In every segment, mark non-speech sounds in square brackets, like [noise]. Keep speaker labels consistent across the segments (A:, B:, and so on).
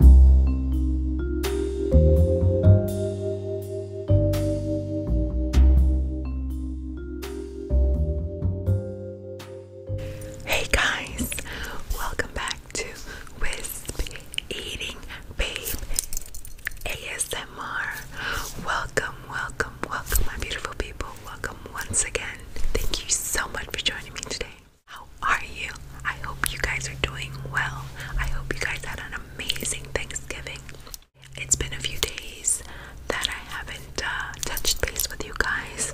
A: Hey guys, welcome back to Wisp Eating Babe ASMR. Welcome, welcome, welcome, my beautiful people. Welcome once again. Thank you so much for joining me today. How are you? I hope you guys are doing well. I hope you guys had an amazing Thanksgiving. It's been a few days that I haven't uh, touched base with you guys.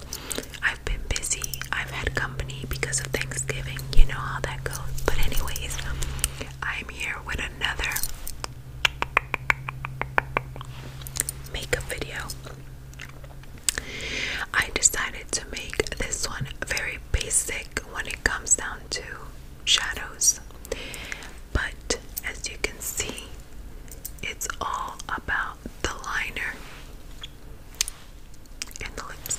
A: I've been busy. I've had company because of Thanksgiving. You know how that goes. But, anyways, I'm here with another makeup video. I decided to make this one very basic when it comes down to shadows. But as you can see, it's all about the liner and the lips.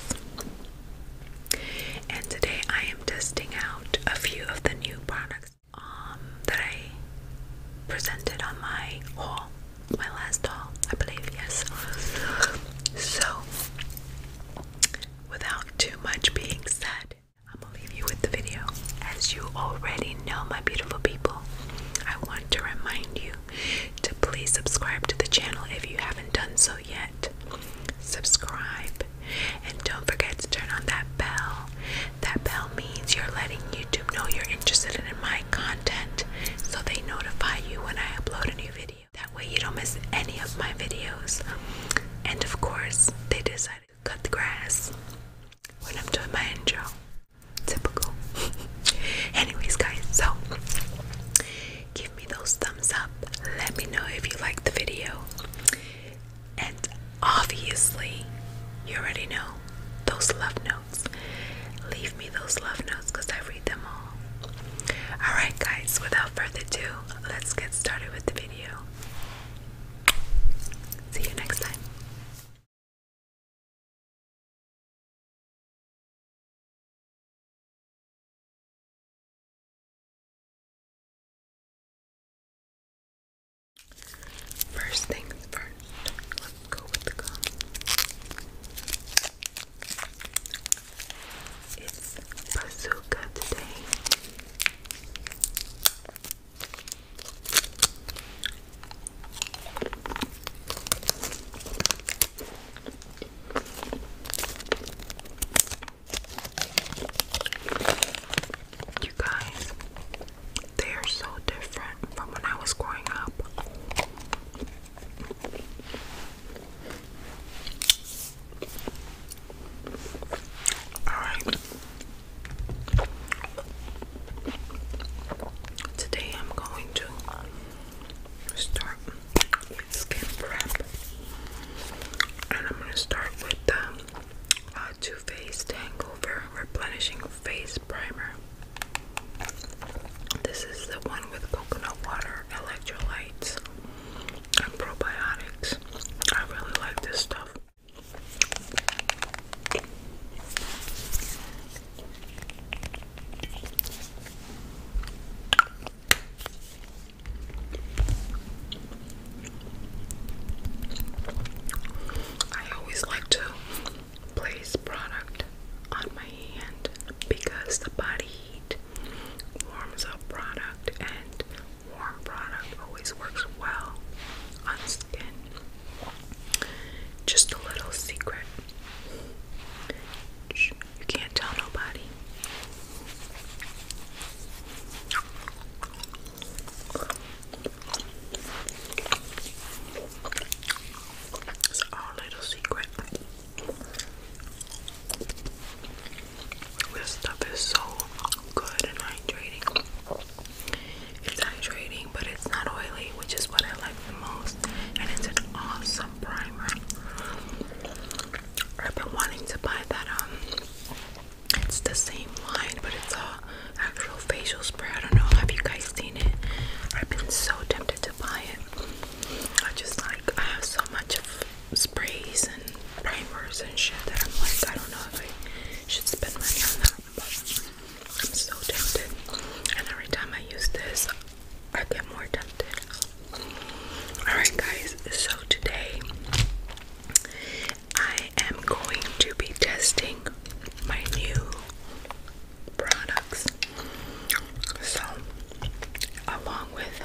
A: And today I am testing out a few of the new products um, that I presented on my haul, my last haul, I believe, yes. So without too much being said, I'm gonna leave you with the video. As you already know, my beautiful people, I want to remind you to please subscribe to the channel if you haven't done so yet. Subscribe and don't forget to turn on that bell. That bell means you're letting YouTube know you're interested in my content so they notify you when I upload a new video. That way you don't miss any of my videos. And of course, they decided to cut the grass when I'm doing my intro. Typical. [laughs] Anyways, guys, so give me those thumbs up. Let me know if you like the video. And obviously, you already know those love notes. Leave me those love notes. Alright, guys, without further ado, let's get started with the video. See you next time. First things first, let's go with the it's bazooka today. You guys, they are so different from when I was growing up. Today I'm going to start with skin prep. And I'm going to start with the um, Too Faced Hangover Replenishing Face Primer. This is the one with coconut water, electrolytes, and probiotics. I really like this stuff. I always like to place product on my hand because the body heat. Warms up product and warm product always works well on skin. Just a little secret. You can't tell nobody. It's our little secret. This stuff is so good and hydrating. It's hydrating, but it's not oily, which is what I like the most. And it's an awesome primer. I've been wanting to buy that. Um, it's the same line, but it's a actual facial spray. I don't know. Have you guys seen it? I've been so tempted to buy it. I just like I have so much of sprays and primers and shit that I'm like I don't know if I should spend money on that, I'm so tempted. And every time I use this, I get more tempted. Alright, guys, so today I am going to be testing my new products. So, along with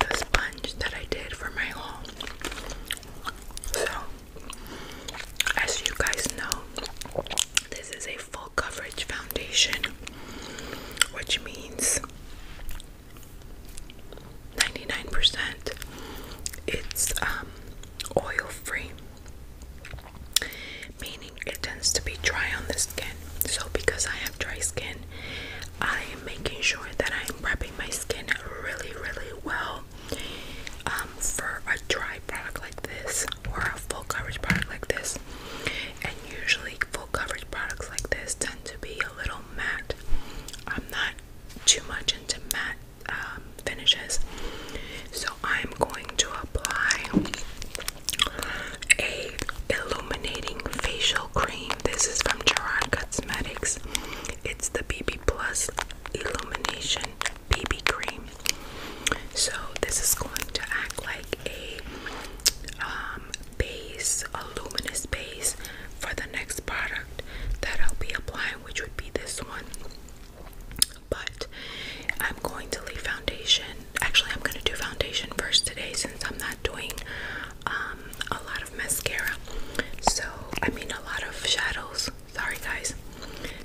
A: the sponge that I did for my home. So, as you guys know, this is a full coverage foundation, which means 99% it's um, oil free meaning it tends to be dry on the skin. So, because I have dry skin, I am making sure that I'm prepping my skin really, really well um, for a dry product like this or a full coverage product like this. And usually, full coverage products like this tend to be a little matte. I'm not too much into matte um, finishes, so I'm going to apply a illuminating facial cream. This is from Gerard Cosmetics. It's the BB Plus Illumination BB Cream. So this is going to act like a um, base, a luminous base for the next product that I'll be applying, which would be this one but I'm going to leave foundation. Actually, I'm going to do foundation first today since I'm not doing um, a lot of mascara. So, I mean, a lot of shadows. Sorry, guys.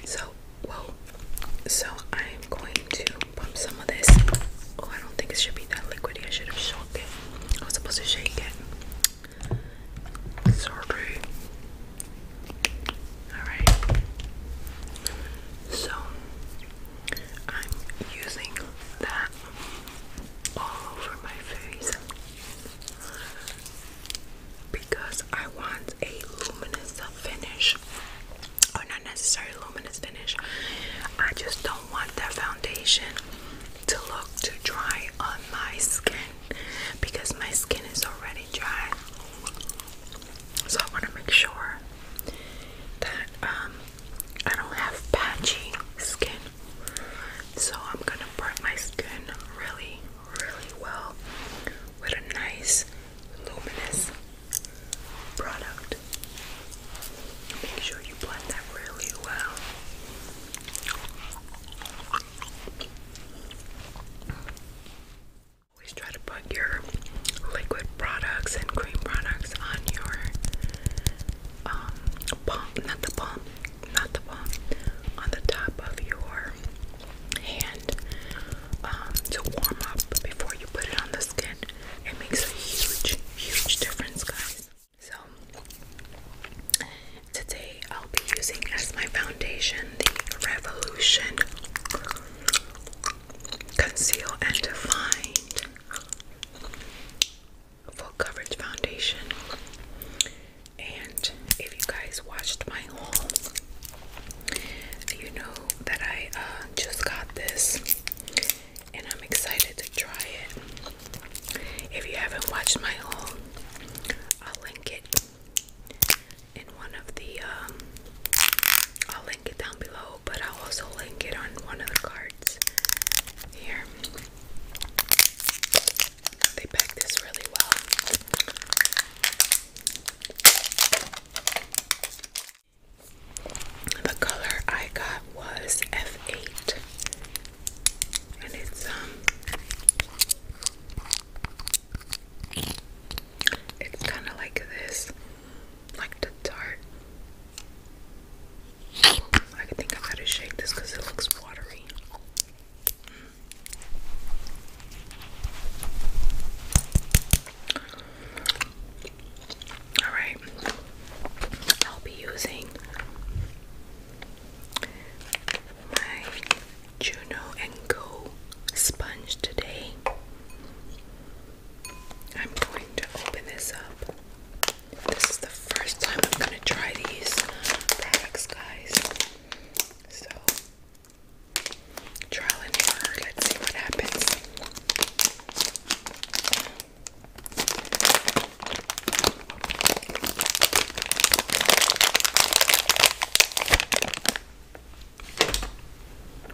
A: So, whoa. So, I'm going to pump some of this. Oh, I don't think it should be that liquidy. I should have shook it. I was supposed to shake it. Sorry. Alright. So, I'm using that all over my face because I want a luminous finish or oh, not necessarily luminous finish I just don't want that foundation to look too dry on my skin because my skin is already dry so I want to make sure that um, I don't have patchy skin. So I'm going to prep my skin really, really well with a nice luminous product. Make sure you blend that really well. Always try to put your liquid products and cream products on your um, palm, not the palm, not the palm, on the top of your hand um, to warm up before you put it on the skin. It makes a huge, huge difference, guys. So, today I'll be using as my foundation the Revolution Conceal and Define Full Coverage Foundation. And if you guys watched my haul, you know that I uh, just got this and I'm excited to try it. If you haven't watched my haul, I'll link it in one of the um, I'll link it down below, but I'll also link it on one of the cards here. They pack this really well. The color I got was F8. And it's um it's kind of like this like the tart. I think I gotta shake this because it looks watery. Alright, I'll be using my Juno and Go sponge today. I'm going to open this up. This is the first time I'm going to try these products, guys. So, trial and error. Let's see what happens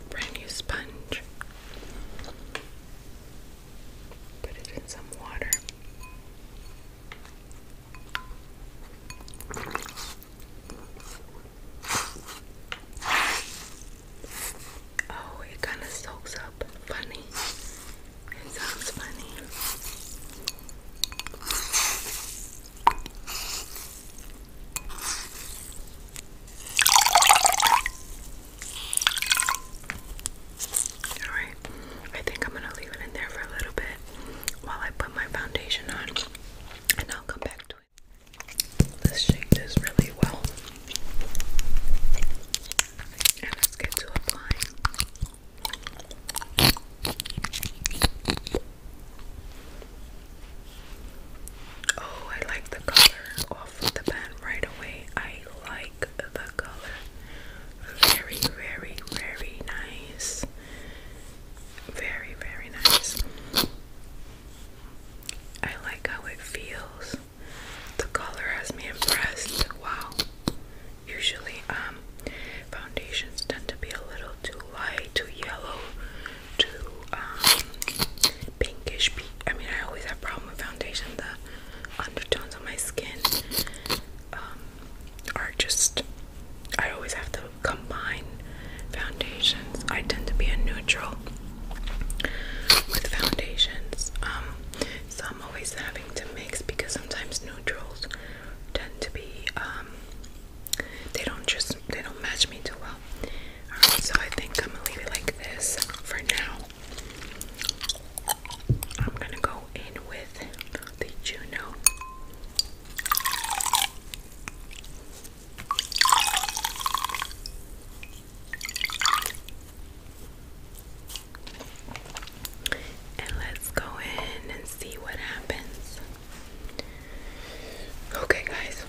A: brand new sponge. Put it in some water. Oh, it kind of soaks up. Funny. It sounds funny. Alright, I think I'm gonna leave it in there for a little bit while I put my foundation on and I'll come back to it. Let's shake really well. And let's get to applying. Oh, I like the color off of the pen right away. I like the color. Very, very, very nice. Very, very nice. I like how it feels. The color has me impressed. Wow. Usually, um, foundations tend to be a little too light, too yellow, to um, pinkish I mean, I always have problems with foundation. The undertones on my skin um, are just. I always have to combine foundations. I tend to be a neutral with foundations. Um, so I'm always having to mix because sometimes neutrals tend to be they don't just they don't match me too well. Alright, so I think I'm gonna leave it like this for now. I'm gonna go in with the Juno. And let's go in and see what happens. Okay, guys,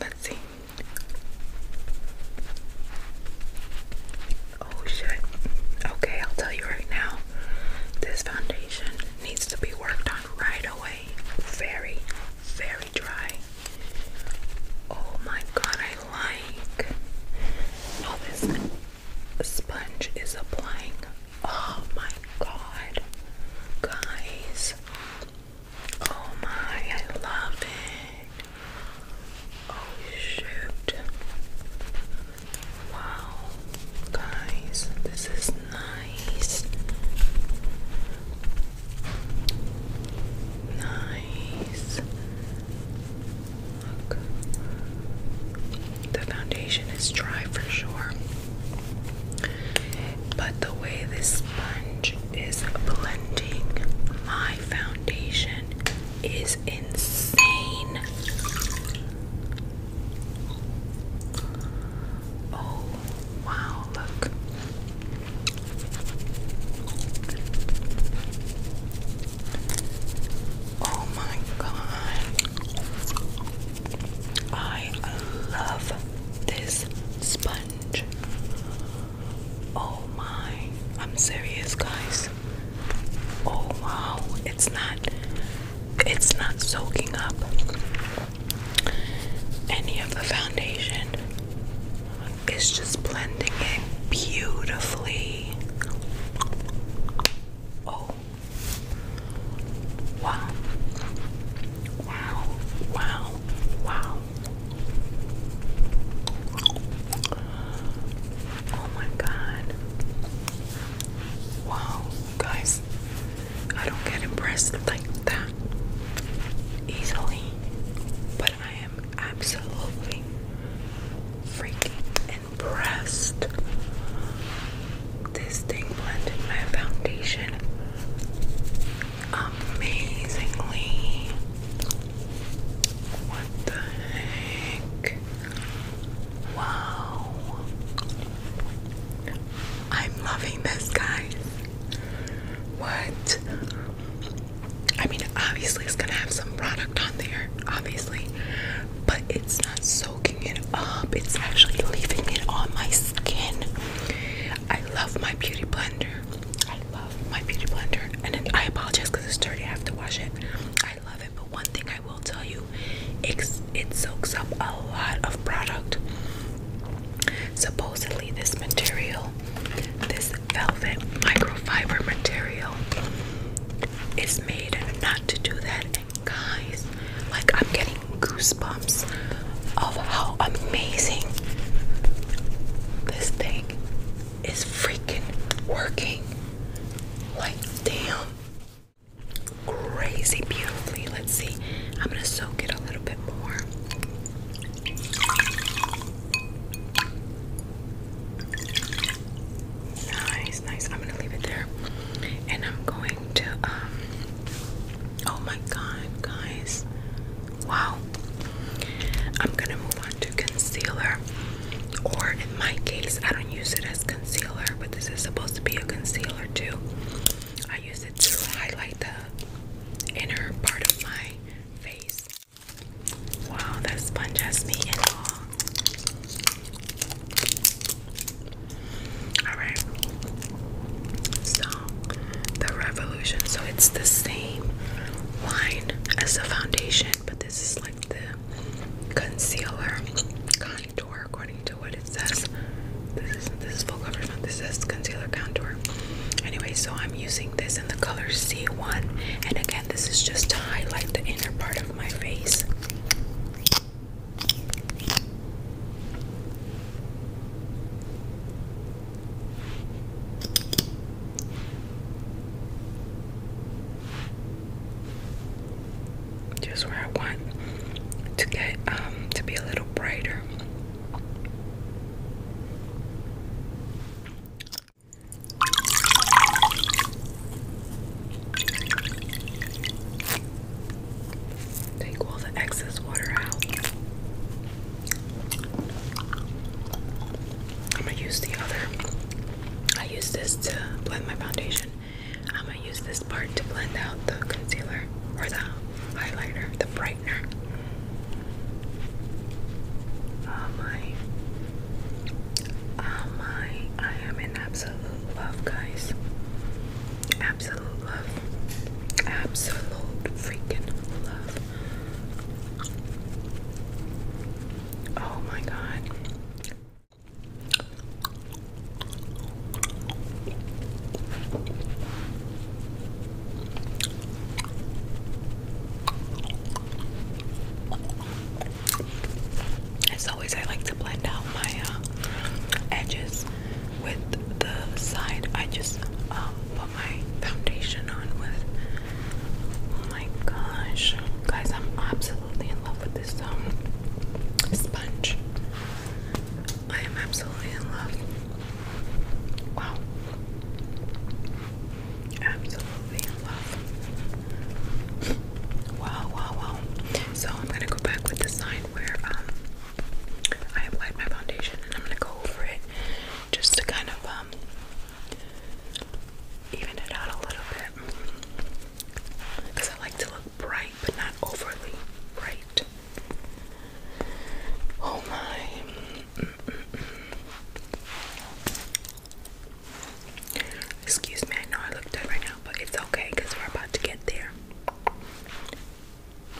A: let's see. Oh shit. Okay, I'll tell you right now. This foundation needs to be worked on right away. Very, very dry. Oh my god, I like how oh, this sponge is applying. Oh my god. Guys, Oh my, I love it. Oh shoot. Wow. Guys, this is nice. Nice. Look. The foundation is dry for sure. But the way this sponge is blending my foundation is insane. Oh, wow, look. Oh my god. I love this sponge. Oh my, I'm serious, guys. Oh wow, it's not it's not soaking up any of the foundation. It's just blending in beautifully. Oh, Wow. Wow. Wow. Wow. Oh my god. Wow, guys. I don't get impressed like that easily. But I am absolutely freaking impressed this thing blended my foundation amazingly. What the heck? Wow. I'm loving this, guy. What? I mean, obviously, it's gonna have some product on there, obviously, but it's not soaking it up, it's actually leaving it on my skin. I love my beauty blender. I love my beauty blender. And then I apologize because it's dirty. I have to wash it. I love it. But one thing I will tell you, it, it soaks up a lot of product. Supposedly, this material, this velvet microfiber material, is made not to do that. guys, like I'm getting goosebumps of how amazing this thing is freaking working. Like damn. Crazy beautifully. Let's see. I'm gonna soak it a little bit more. Nice, nice. I'm gonna leave it there. And I'm going um, oh my god guys wow I'm gonna move on to concealer or in my case I don't use it as concealer but this is supposed to be a concealer too I use it to highlight the inner part of my face wow that sponge has me in awe Alright. So the revolution. So it's the same line as the foundation, but this is like the concealer contour according to what it says. This is this is full coverage, not this is concealer contour. Anyway, so I'm using this in the color C1, and again, this is just to highlight the inner part of my face. Just where I want to get um to be a little brighter. Take all the excess water out. I'm gonna use the other. I use this to blend my foundation. I'm gonna use this part to blend out the concealer or the highlighter, the brightener. Oh my. Oh my. I am in absolute love, guys. Absolute Absolute freaking love. Oh my god. As always, I like to blend out my uh, edges with the side I just um, put my foundation on with. Oh my gosh, guys, I'm absolutely in love with this um, sponge. I am absolutely in love. Wow, absolutely in love. Wow, wow, wow. So I'm gonna go back with the side where um, I applied my foundation and I'm gonna go over it just to kind of um, even it out a little bit because I like to look bright but not overly bright. Oh my. Excuse me, I know I look dead right now, but it's okay because we're about to get there.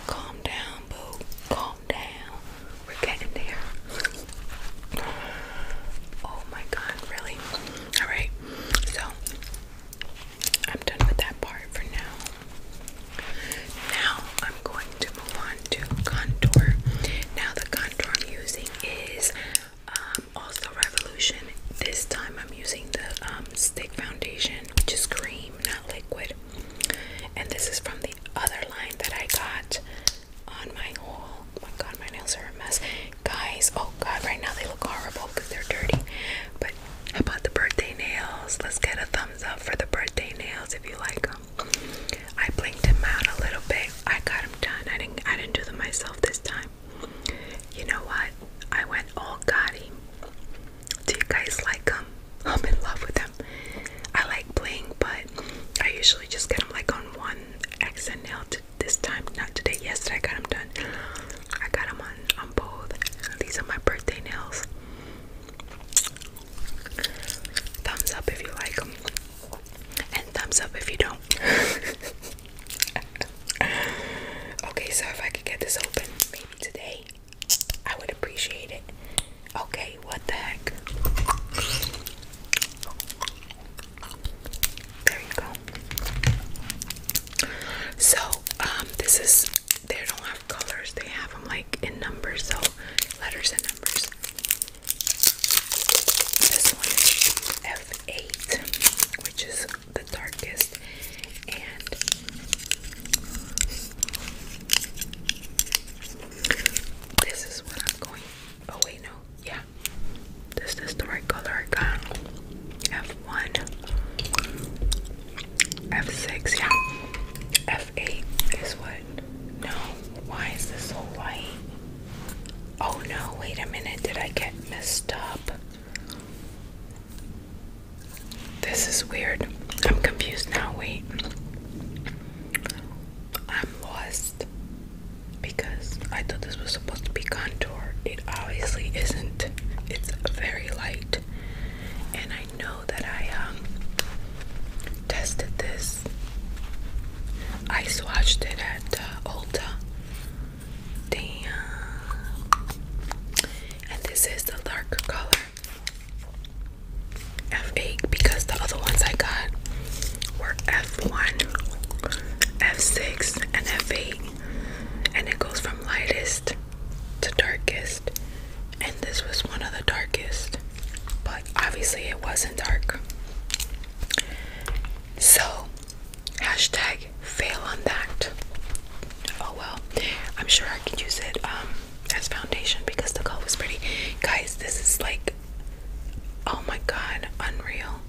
A: Calm down, boo. Calm down. We're getting there. Oh my god, really? Alright, so I'm done with that part for now. Now I'm going to move on to contour. Now, the contour I'm using is um, also Revolution. This time I'm using the um, stick foundation, which is green not liquid. And this is from the other line that I got on my whole. Oh my god, my nails are a mess. Guys, oh god, right now they look horrible because they're dirty. But how about the birthday nails? Let's get a thumbs up for the birthday nails if you like them. I blinked him out a little bit. I got him done. I didn't I didn't do them myself this time. You know what? I went all gaudy. Do you guys like them? Um, [laughs] I'm in love with them. I like playing, but I usually just get them like on one XNL. To this time, not today. Yesterday, I got them done. I got them on on both. These are my birthday nails. Thumbs up if you like them, and thumbs up if you don't. [laughs] okay, so if I could get this open, maybe today. I would appreciate it. Okay, what the heck? There you go. So, um, this is they don't have colors, they have them like in numbers, so letters and numbers. This one is F8, which is the darkest and this is what I'm going oh wait no yeah this is the right color I got F1 F6 yeah F8 is what no why is this so light oh no wait a minute did I get messed up this is weird. I'm confused now. Wait. I'm lost because I thought this was supposed to be contour. It obviously isn't. It's very light. And I know that I um tested this. I swatched it at uh, Ulta. Damn and this is the darker color F8 because the other ones I got were F1, F6, and F8, and it goes from lightest to darkest, and this was one of the darkest, but obviously it wasn't dark. So, hashtag fail on that. Oh well, I'm sure I could use it um, as foundation because the color was pretty. Guys, this is like, oh my god, unreal.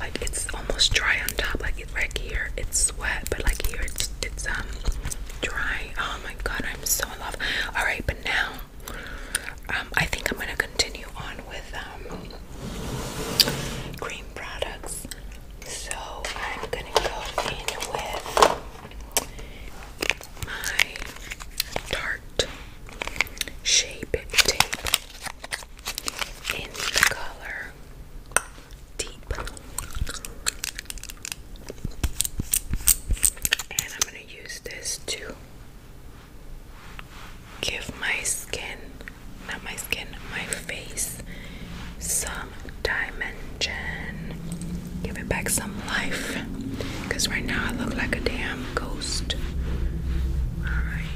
A: Like it's almost dry on top. Like it, right here, it's wet, but like here, it's it's um dry. Oh my god, I'm so in love. All right, but now, um, I think I'm gonna continue on with um cream products. So I'm gonna go in with my Tarte Shape Tape in the color Deep. And I'm gonna use this to give my skin not my skin, my face some dimension. Give it back some life. Because right now I look like a damn ghost. Alright.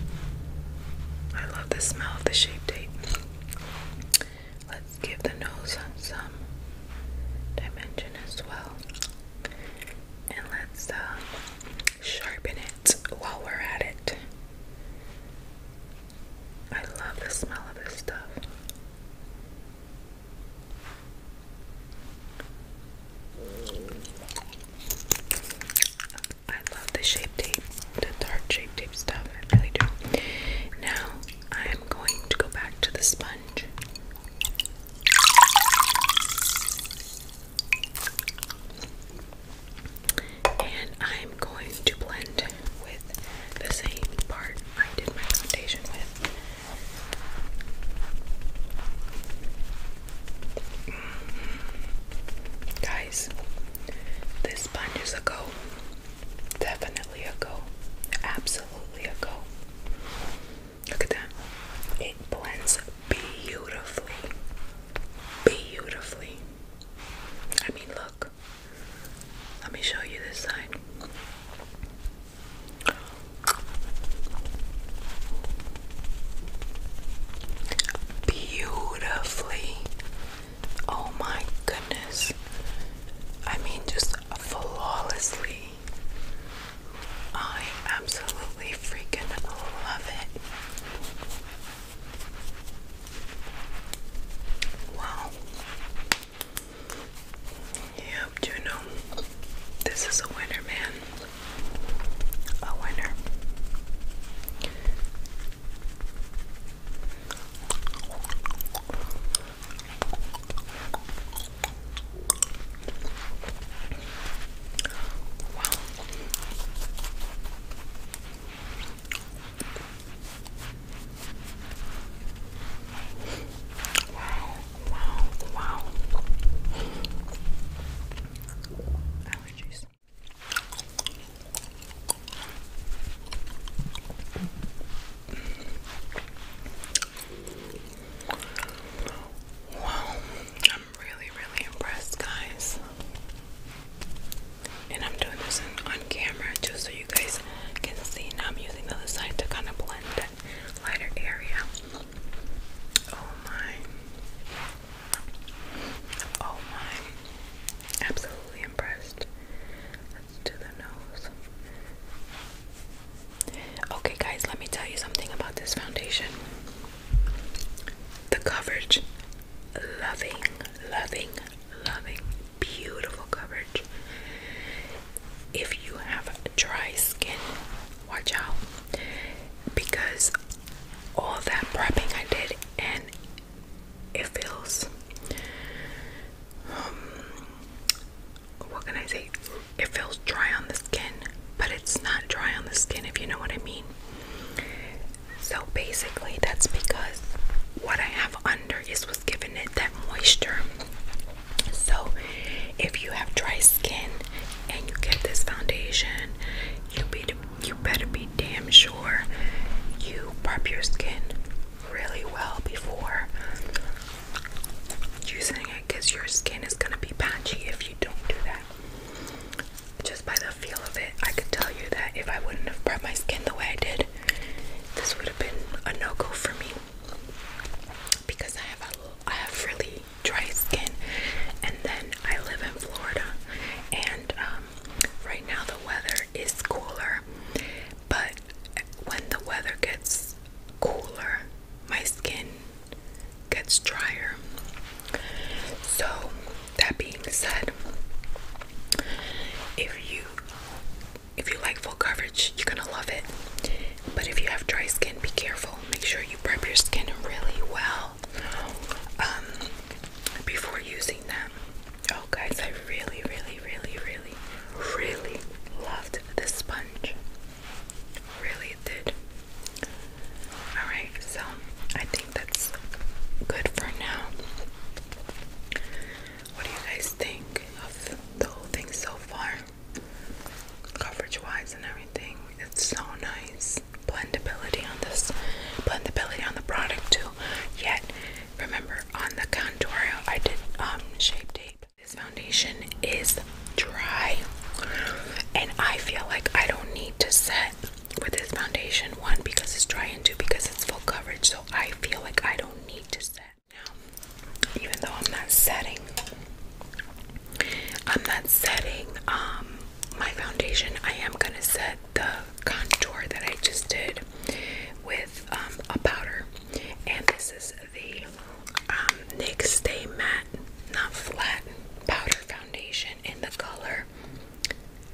A: I love the smell of the shape tape. Let's give the nose some dimension as well. And let's uh, sharpen it while we're at it. I love the smell of this stuff. I love the shape tape, the dark shape tape stuff. I really do. Now I am going to go back to the sponge and I'm going to blend with the same part I did my foundation with. Mm-hmm. Guys, this sponge is a go. Definitely a go. Absolutely a go. Look at that. It blends beautifully. Beautifully. I mean, look. Let me show you this side. Beautifully. Oh my goodness. I mean, just flawlessly. I absolutely freaking love it. Wow. Yep, Juno. This is a winner, man. A winner. Wow. Wow, wow, wow. Allergies. Wow, I'm really, really impressed, guys and I'm doing this on camera just so you guys can see. Now I'm using the other side to kind of blend that lighter area. Oh my. Oh my. Absolutely impressed. Let's do the nose. Okay, guys, let me tell you something about this foundation. The coverage, loving, loving, loving, beautiful coverage. If you have dry skin, watch out because all that prepping I did and it feels um, what can I say? It feels dry on the skin, but it's not dry on the skin if you know what I mean. So basically, that's because what I have under is what's giving it that moisture. So if you have dry skin and you get this foundation, you be you better be damn sure you prep your skin really well before using it because your skin is gonna be patchy if you don't do that by the feel of it, I could tell you that if I wouldn't have prepped my skin the way I did, this would have been a no-go for me because I have I have really dry skin, and then I live in Florida, and um, right now the weather is cooler, but when the weather gets cooler, my skin gets drier. So that being said, if you if you like full coverage, you're gonna love it. But if you have dry skin, be careful. Make sure you prep your skin really well um, before using them. Oh, guys, I really, really, really, really, really loved this sponge. Really did. Alright, so I that's good for now. What do you guys think of the whole thing so far? Coverage wise and everything. It's so nice. Blendability on this, blendability on the product too. Yet, remember on the contour, I did um, shape tape. This foundation is dry, and I feel like I don't need to set with this foundation. One, because it's dry, and two, because it's full coverage. So I feel like I don't need to set now. Even though I'm not setting, I'm not setting um, my foundation. I am gonna set the contour that I just did with um, a powder, and this is the um, NYX Stay Matte, not flat powder foundation in the color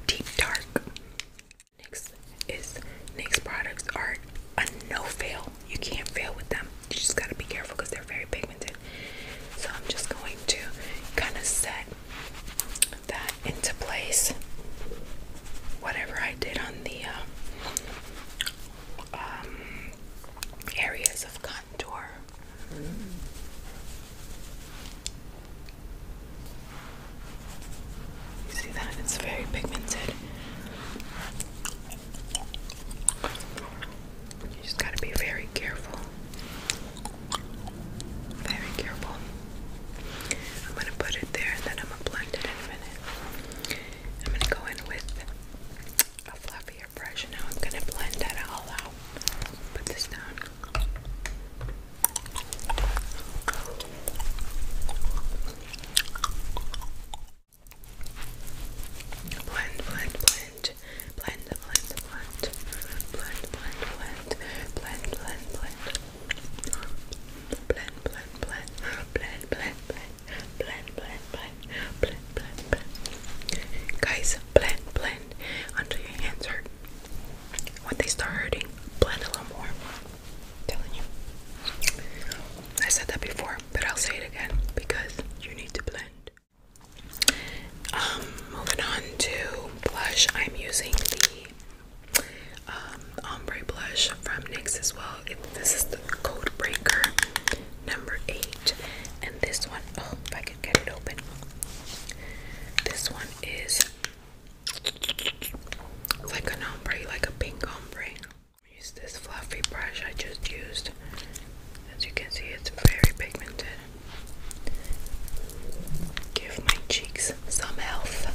A: Deep Dark. Next is NYX products are a no fail. You can't fail with them. You just gotta be careful because they're very pigmented. So I'm just going to kind of set that into place. Whatever I did on the um, um, areas of contour. Mm-hmm. You see that? It's very pigmented. You just gotta be very careful. Very careful. I'm gonna put it there and then I'm gonna blend it in a minute. I'm gonna go in with a fluffier brush now I'm gonna blend that all out. Put this down. Blend, blend, blend, blend, blend, blend, blend, blend, blend, blend, blend, blend. Blend, blend, blend, blend, blend, blend, blend, blend, blend, blend, blend. Guys, blend, blend until your hands hurt when they start hurting, blend a little more. i telling you. I said that before, but I'll say it again because you need to blend. Um, moving on to blush, I'm using the um, ombre blush from NYX as well. It, this is the Code Breaker number eight, and this one, oh, if I can get it open, this one is like an ombre, like a pink ombre. Use this fluffy brush I just used. As you can see, it's very pigmented. Give my cheeks some health.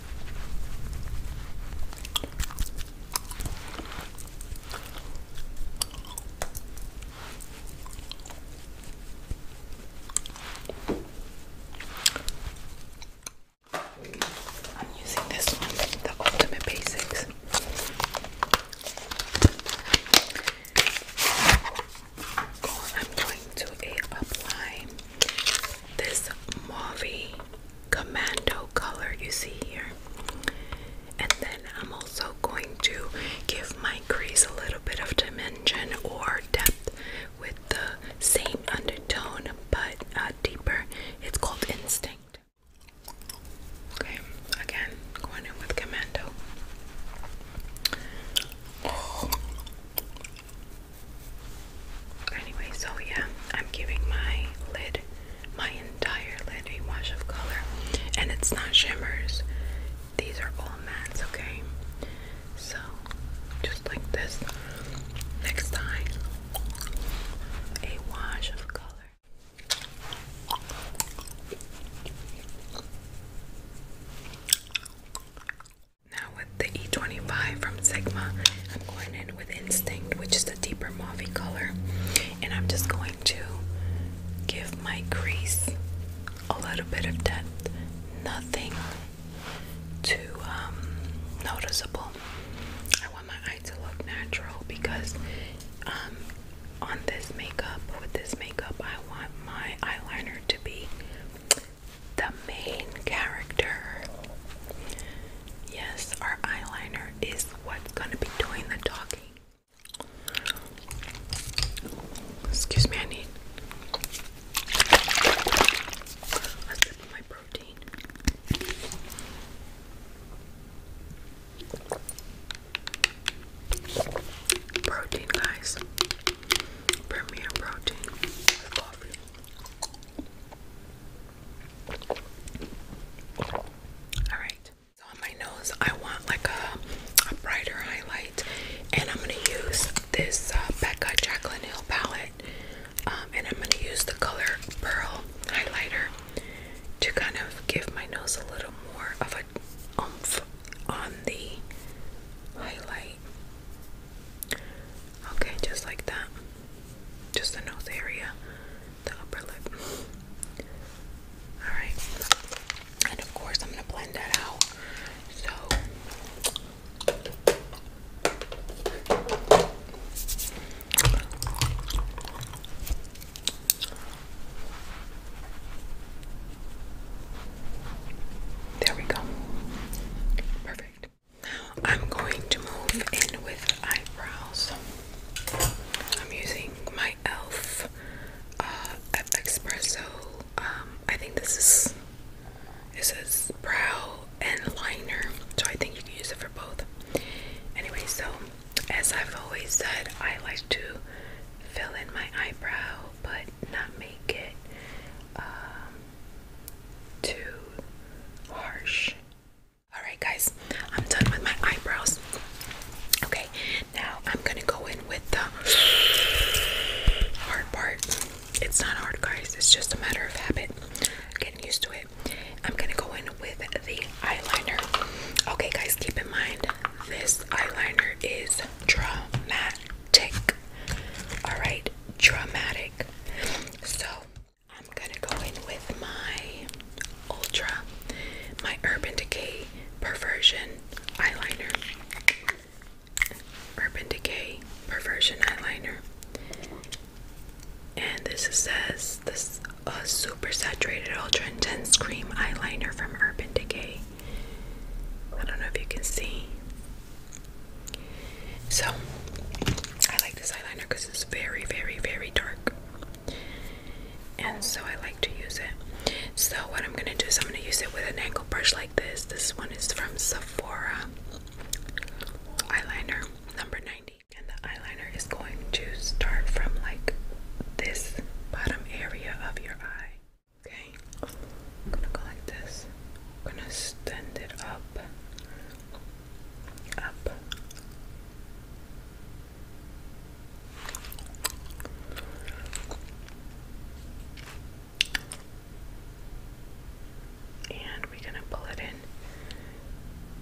A: I'm using this one, the Ultimate Basics. I'm going to apply this Mauve Commando color you see here. And then I'm also going to give my crease a little bit of dimension or depth with the same undertone but uh, deeper. It's called Instinct. Okay, again, going in with Commando. Anyway, so yeah, I'm giving my lid, my entire lid, a wash of color. And it's not shimmers, these are all mattes, okay? So, just like this. Next time, a wash of color. Now, with the E25 from Sigma, I'm going in with Instinct, which is the deeper mauve color, and I'm just going to give my crease a little bit of depth. Nothing too um, noticeable. I want my eye to look natural because um, on this makeup, with this makeup, I want my eyeliner to be the main character. Yes, our eyeliner is what's going to be doing the talking. Excuse me, I need a sip of my protein. Protein, guys. Premier protein with coffee. Alright, so on my nose, I want like a, a brighter highlight and I'm gonna use this uh, Becca Jaclyn Hill palette, um, and I'm gonna use the color Pearl highlighter to kind of give my nose a little more of a umph on the highlight. Okay, just like that. Just the nose area, the upper lip. Alright. And of course I'm gonna blend that out. So there we go. Perfect. Now I'm going to move in with eyebrows. I'm using my e.l.f. Uh, Espresso. Um, I think this is it says brow and liner, so I think you can use it for both. Anyway, so as I've always said, I like to fill in my eyebrow but not make it um, too harsh. Alright, guys, I'm done with my eyebrows. Okay, now I'm gonna go in with the hard part. It's not hard, guys. It's just a matter of habit. Getting used to it. I'm gonna go in with the eyeliner. Okay, guys, keep in mind this eyeliner is dramatic. Alright, dramatic. So I'm gonna go in with my Ultra, my Urban Decay Perversion eyeliner. Urban Decay Perversion Eyeliner. And this says this uh, super saturated ultra intense cream eyeliner from Urban Decay. I don't know if you can see. So I like this eyeliner because it's very, very, very dark. And so I like to use it. So what I'm gonna do is I'm gonna use it with an angle brush like this. one is from Sephora. Eyeliner number 90. And the eyeliner is going to start from like this bottom area of your eye. Okay. gonna go like this. gonna stand it up. Up. And we're gonna pull it in.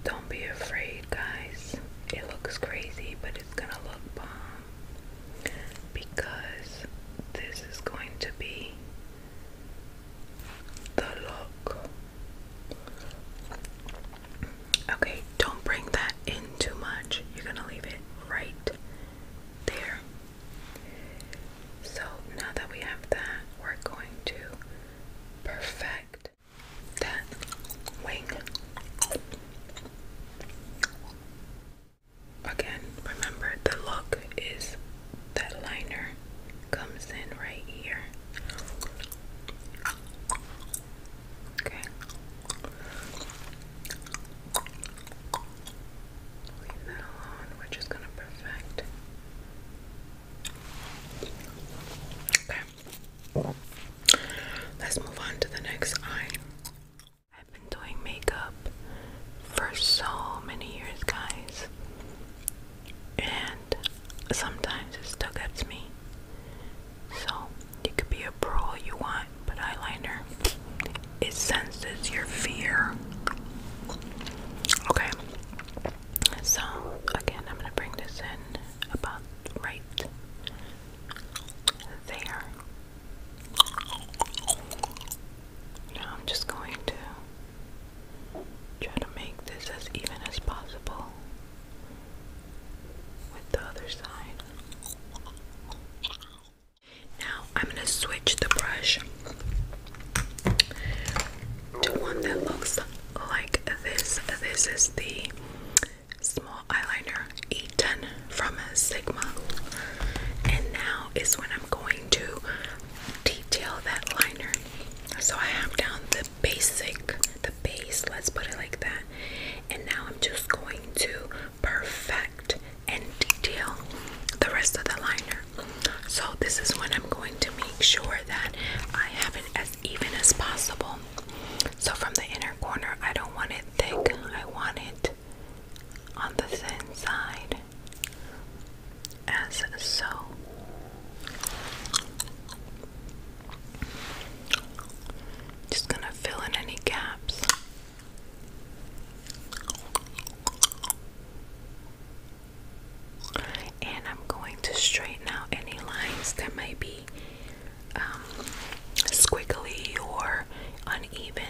A: Don't be afraid, guys. It looks crazy, but it's gonna look bomb because this is going to be the look. Okay, don't bring that in too much. You're gonna leave it right there. So now that we have that, we're going to perfect that wing. Again, remember the look is that liner comes in right here. Okay. Leave that alone. We're just gonna perfect. Okay. Let's move on to the next eye. I've been doing makeup for so many years, guys. And sometimes it still gets me. So, you could be a pro all you want. But eyeliner, it senses your fear. Okay. So again, I'm gonna bring this in about right there. Now I'm just going to try to make this as even as possible with the other side. Now I'm going to switch the brush to one that looks like this. This is the small eyeliner E10 from Sigma. And now is when I'm going to detail that liner. So I have down the basic, the base, let's put it like that. And now I'm just going to perfect and detail the rest of the liner. So this is when I'm going to make sure that I have it as even as possible. So from the inner corner, I don't want it thick. I want it on the thin side as so. Just gonna fill in any gaps. And I'm going to straighten out any lines that might be um, squiggly or uneven.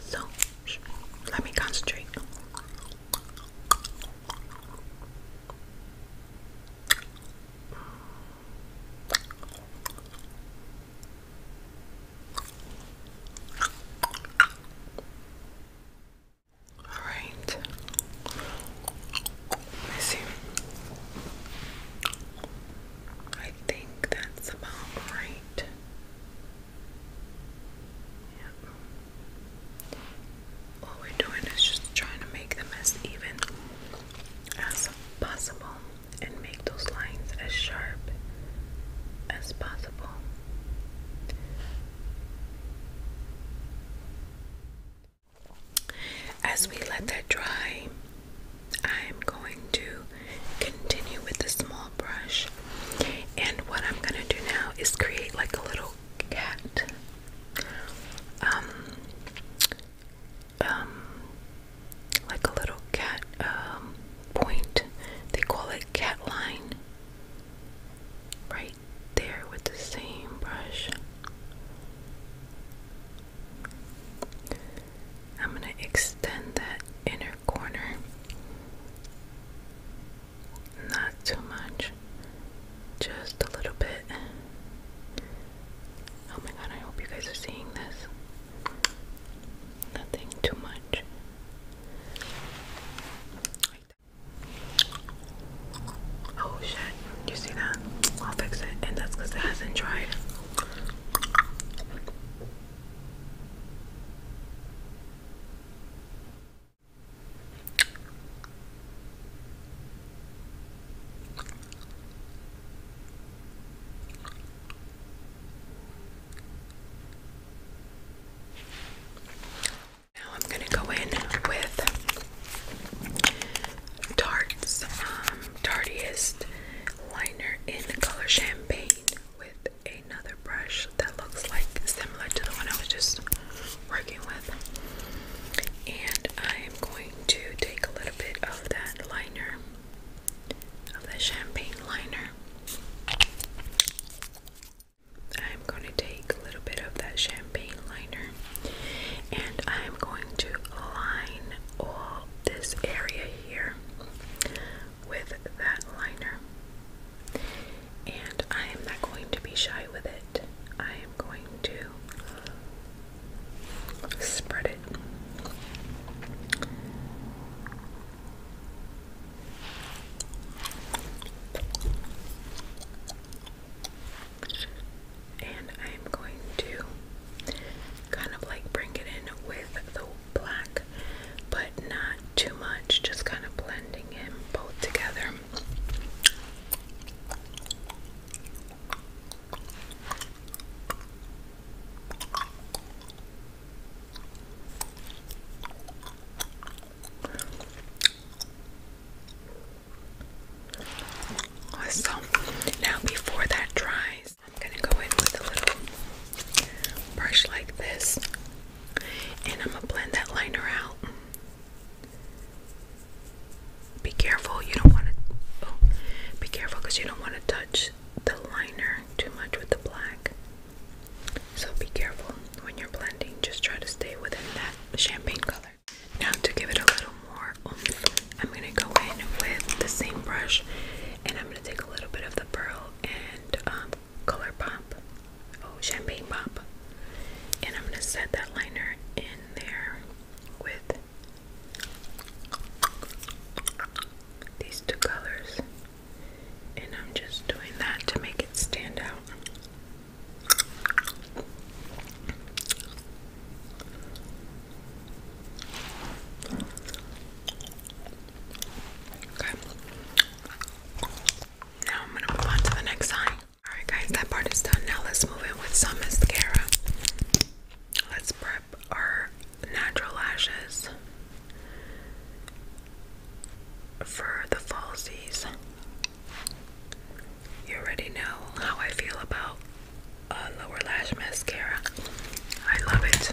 A: So, let me concentrate. All right. see. I think that's about right. All we're doing is just trying to make them as even as possible and make those lines as sharp as possible. As we let that dry, I'm going to continue with the small brush. And what I'm gonna do now is create like a little cat. Um, um, like a little cat um, point. They call it cat line. Right there with the same brush. I'm going to extend that inner corner. Not too much, just a little bit. Oh my god, I hope you guys are seeing this. Nothing too much. Oh shit, you see that? I'll fix it, and that's because it hasn't dried. Now I'm going to go in with Tarte's um, liner in the color Champagne with another brush that looks like similar to the one I was just working with. And I am going to take a little bit of that liner, of that champagne liner. I'm going to take a little bit of that champagne liner and I'm going to line all this area here with that liner. And I am not going to be shy with it. I am going to spread it. And I am going to kind of like bring it in with the black but not too much, just kind of blending in both together. So now, before that dries, I'm gonna go in with a little brush like this and I'm gonna blend that liner out. Be careful, you don't want to. Oh, be careful because you don't want to touch the liner too much with the black. So be careful when you're blending, just try to stay within that champagne color. Now, to give it a little more I'm gonna go in with the same brush and I'm gonna take a little bit of the pearl and um, color pop, oh champagne pop, and I'm gonna set that liner in there with these two colors, and I'm just doing that to make it stand out. Okay. Now I'm gonna move on to the next eye. Alright guys, that part is done. Now let's move in with some mascara. Let's prep our natural lashes for the fall season. You already know how I feel about lower lash mascara. I love it.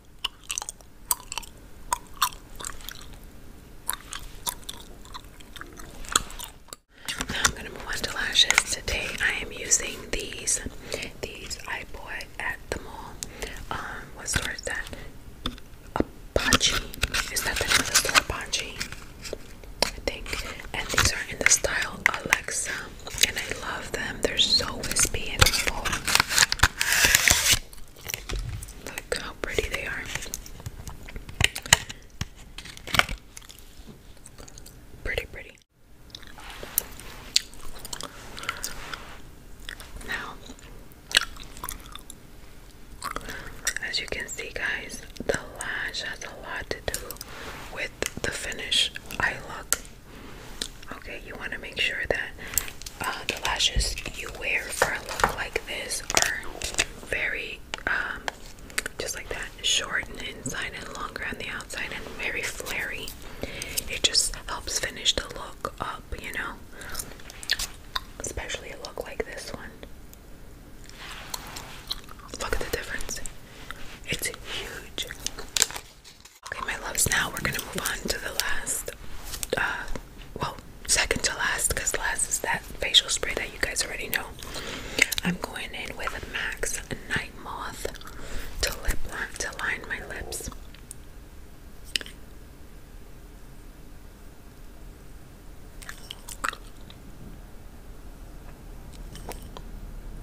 A: I'm gonna move on to lashes. Today I am using these. These I bought at the mall. Um, what store is that? Apache. Is that the name of the store? Apache. I think. And these are in the style Alexa and I love them. They're so wispy and full. Look how pretty they are. Pretty, pretty. Now, as you can see, guys, the lash has a lot to do with the finish I look. Okay, you want to make sure that uh, the lashes you wear for a look like this are very, um, just like that, short and inside and longer on the outside and very flirty. It just helps finish the look up, you know? Especially a look like this one. Look at the difference. It's huge. Okay, my loves, now we're gonna move on to the last, uh, well, second to last, because last is that facial spray that you guys already know. I'm going in with a Max Night Moth to lip line, to line my lips.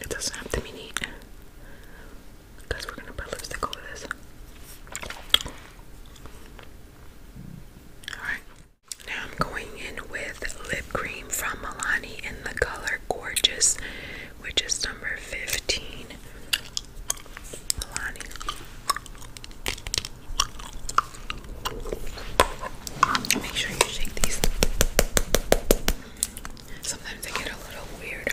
A: It doesn't have to be neat because we're gonna put lipstick over this. Alright. Now I'm going in with lip cream from Milani in the color Gorgeous, which is number 15. Milani. Make sure you shake these. Sometimes they get a little weird.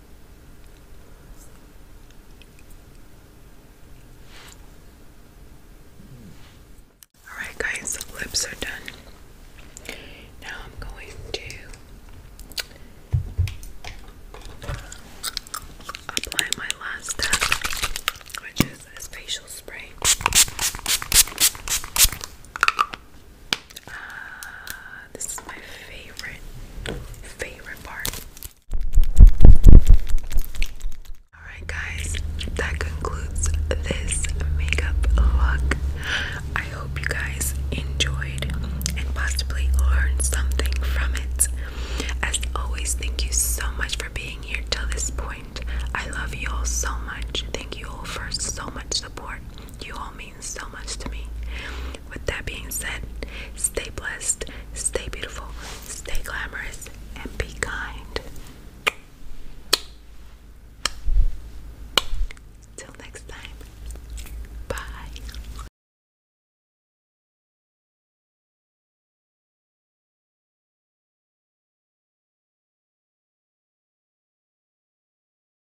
A: Alright, guys, the lips are done. Now I'm going to apply my last step, which is a facial spray. Uh, this is my favorite, favorite part. Alright, guys, that concludes this makeup look. I hope you guys enjoyed and possibly learned something from it. As always, thank you so much for being here till this point. I love you all so much. Thank you all for so much support. You all mean so much to me. With that being said, stay blessed, stay beautiful, stay glamorous, and be kind. Till next time, bye.